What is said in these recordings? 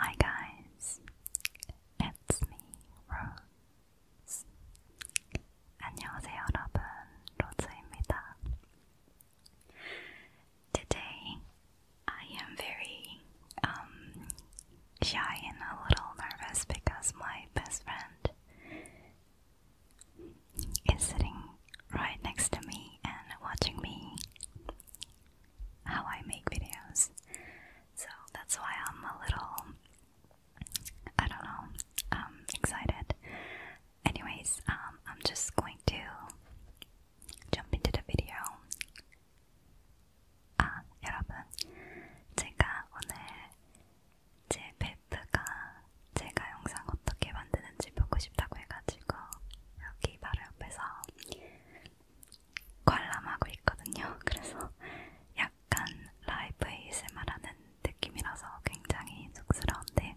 Hi guys, it's me, Rose. 안녕하세요 여러분, 로즈입니다. Today, I am very um, shy and a little nervous because my best friend is sitting right next to me and watching me how I make videos. So that's why I'm a little, I don't know, um, excited. Anyways, um, I'm just going to jump into the video. 아, 여러분, 제가 오늘 제 베프가 제가 영상 어떻게 만드는지 보고 싶다고 해가지고 여기 바로 옆에서 관람하고 있거든요. 그래서 약간 라이브 ASMR하는 느낌이라서 굉장히 쑥스러운데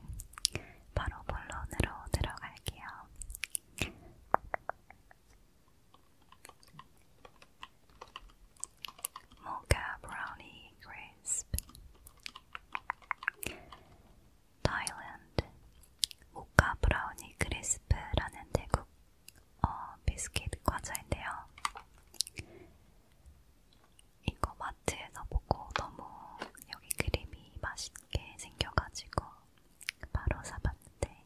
바로 본론으로 들어갈게요. Mocha Brownie Crisp 타일랜드 모카 브라우니 크리스프라는 태국 어, 비스킷 과자인데요. 이거 마트에서 보고 너무 여기 크림이 맛있게 생겨가지고 바로 사봤는데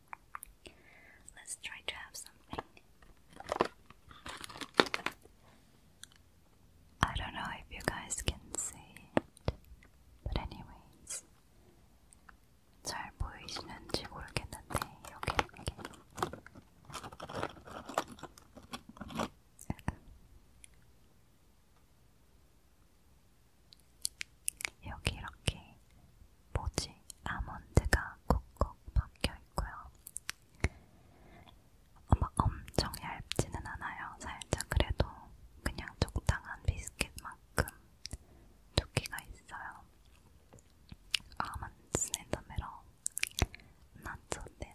Let's try to have something. I don't know if you guys can see it, but anyways. 잘 보이시는지 모르겠는데 이렇게 이렇게 여기 이렇게 뭐지? 아몬드가 콕콕 박혀있고요. 막 엄청 얇지는 않아요. 살짝 그래도 그냥 적당한 비스킷만큼 두께가 있어요. 아몬드 샌드메로 나초된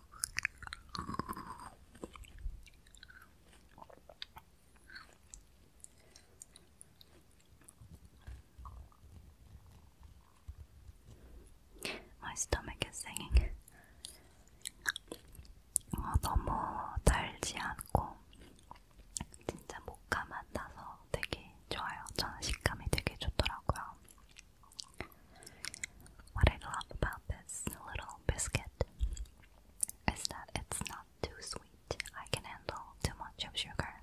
My stomach is singing. 어, 너무 달지 않고 진짜 목감 안 나서 되게 좋아요. 저는 식감이 되게 좋더라고요. What I love about this little biscuit is that it's not too sweet. I can handle too much of sugar.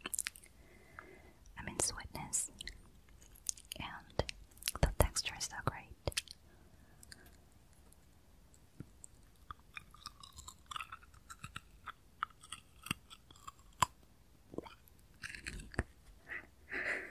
I mean, sweetness. And the texture is so great.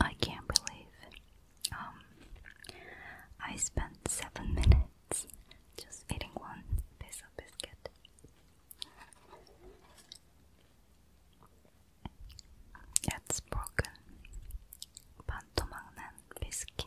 I can't believe um, I spent seven minutes just eating one piece of biscuit. It's broken. 반토막난 biscuit.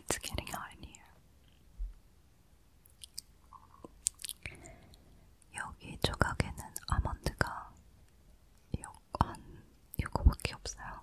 It's getting hot in here. 여기 조각에는 아몬드가 요, 한 요거밖에 없어요.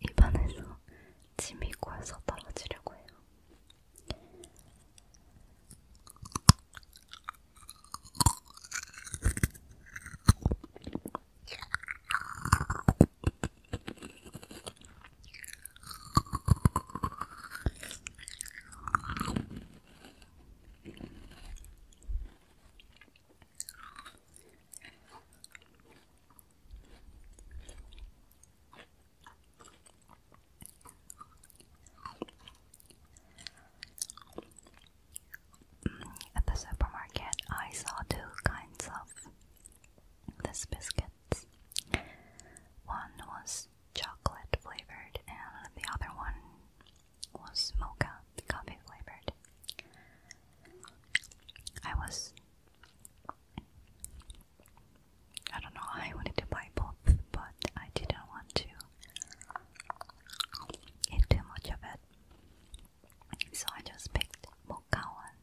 입안에서 침이 고여서 떨어지려고 해요. At the supermarket, I saw two kinds of this biscuits. One was chocolate flavored, and the other one was mocha coffee flavored. I was I don't know, I wanted to buy both, but I didn't want to eat too much of it. So I just picked mocha one.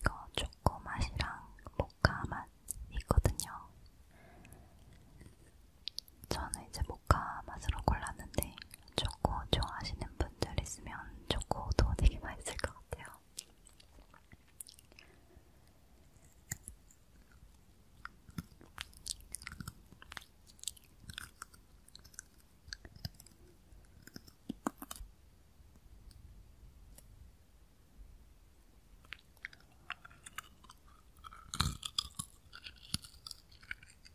이거 초코 맛이랑 모카 맛 있거든요. 저는 이제 모카 맛으로 골랐는데 초코 좋아하시는 분들 있으면 초코도 되게 맛있을 것 같아요.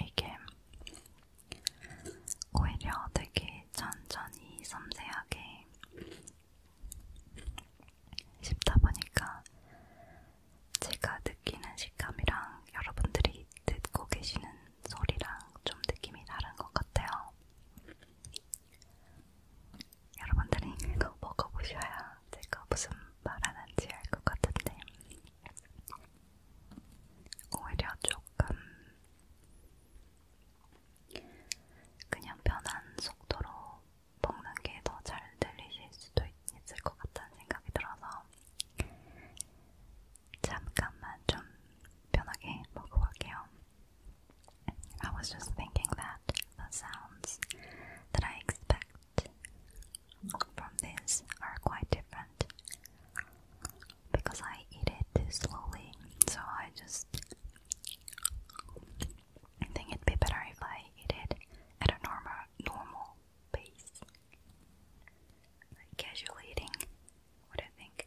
이게 오히려 되게 천천히 섬세하게 씹다 보니까 제가 느끼는 식감이랑 여러분들이 듣고 계시는 소리랑 좀 느낌이 다른 것 같아요. 여러분들이 이거 먹어보셔야 제가 무슨 말하는지 알 것 같은데 오히려 조금 그냥 편한 속도로 먹는 게 더 잘 들리실 수도 있을 것 같다는 생각이 들어서 잠깐만 좀 편하게 먹고 갈게요. I was just thinking that the sounds that I expect from this are quite different because I eat it too slowly, so I just think it'd be better if I eat it at a normal normal pace. Like casual eating. What do you think?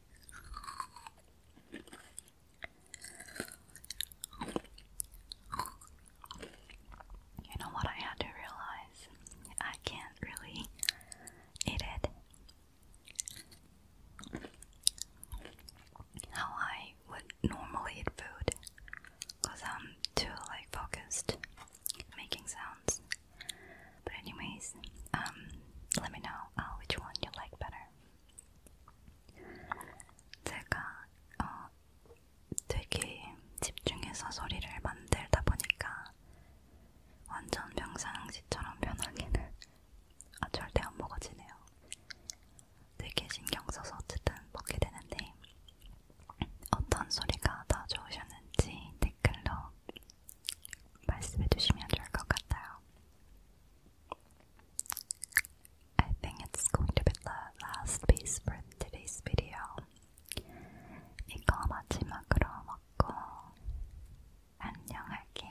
You know what I had to realize? I can't really eat it. How I would normally eat food because I'm too like focused making sounds. But anyways, um, let me know uh, which one you like better. 제가 어, 되게 집중해서 소리를 만들다 보니까 완전 평상시처럼 편하게는 아, 절대 안 먹어지네요. 되게 신경 써서 어쨌든 먹게 되는데 어떤 소리가 더 좋으셨는지 댓글로 말씀해 주시면 I think it's going to be the last piece for today's video. 이거 마지막으로 먹고 안녕할게요.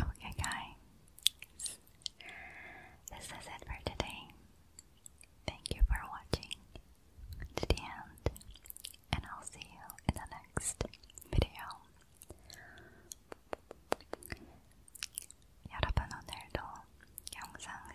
Okay, guys, this is it for today. Thank you for watching to the end, and I'll see you in the next video. 여러분 오늘도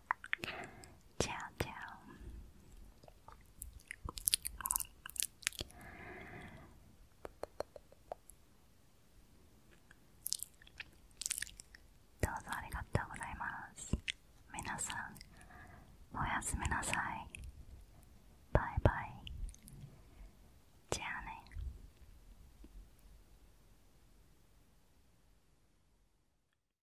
Ciao, c i どうぞありがとうございます。みなさん、おやすみなさい。バイバイ。じゃあね。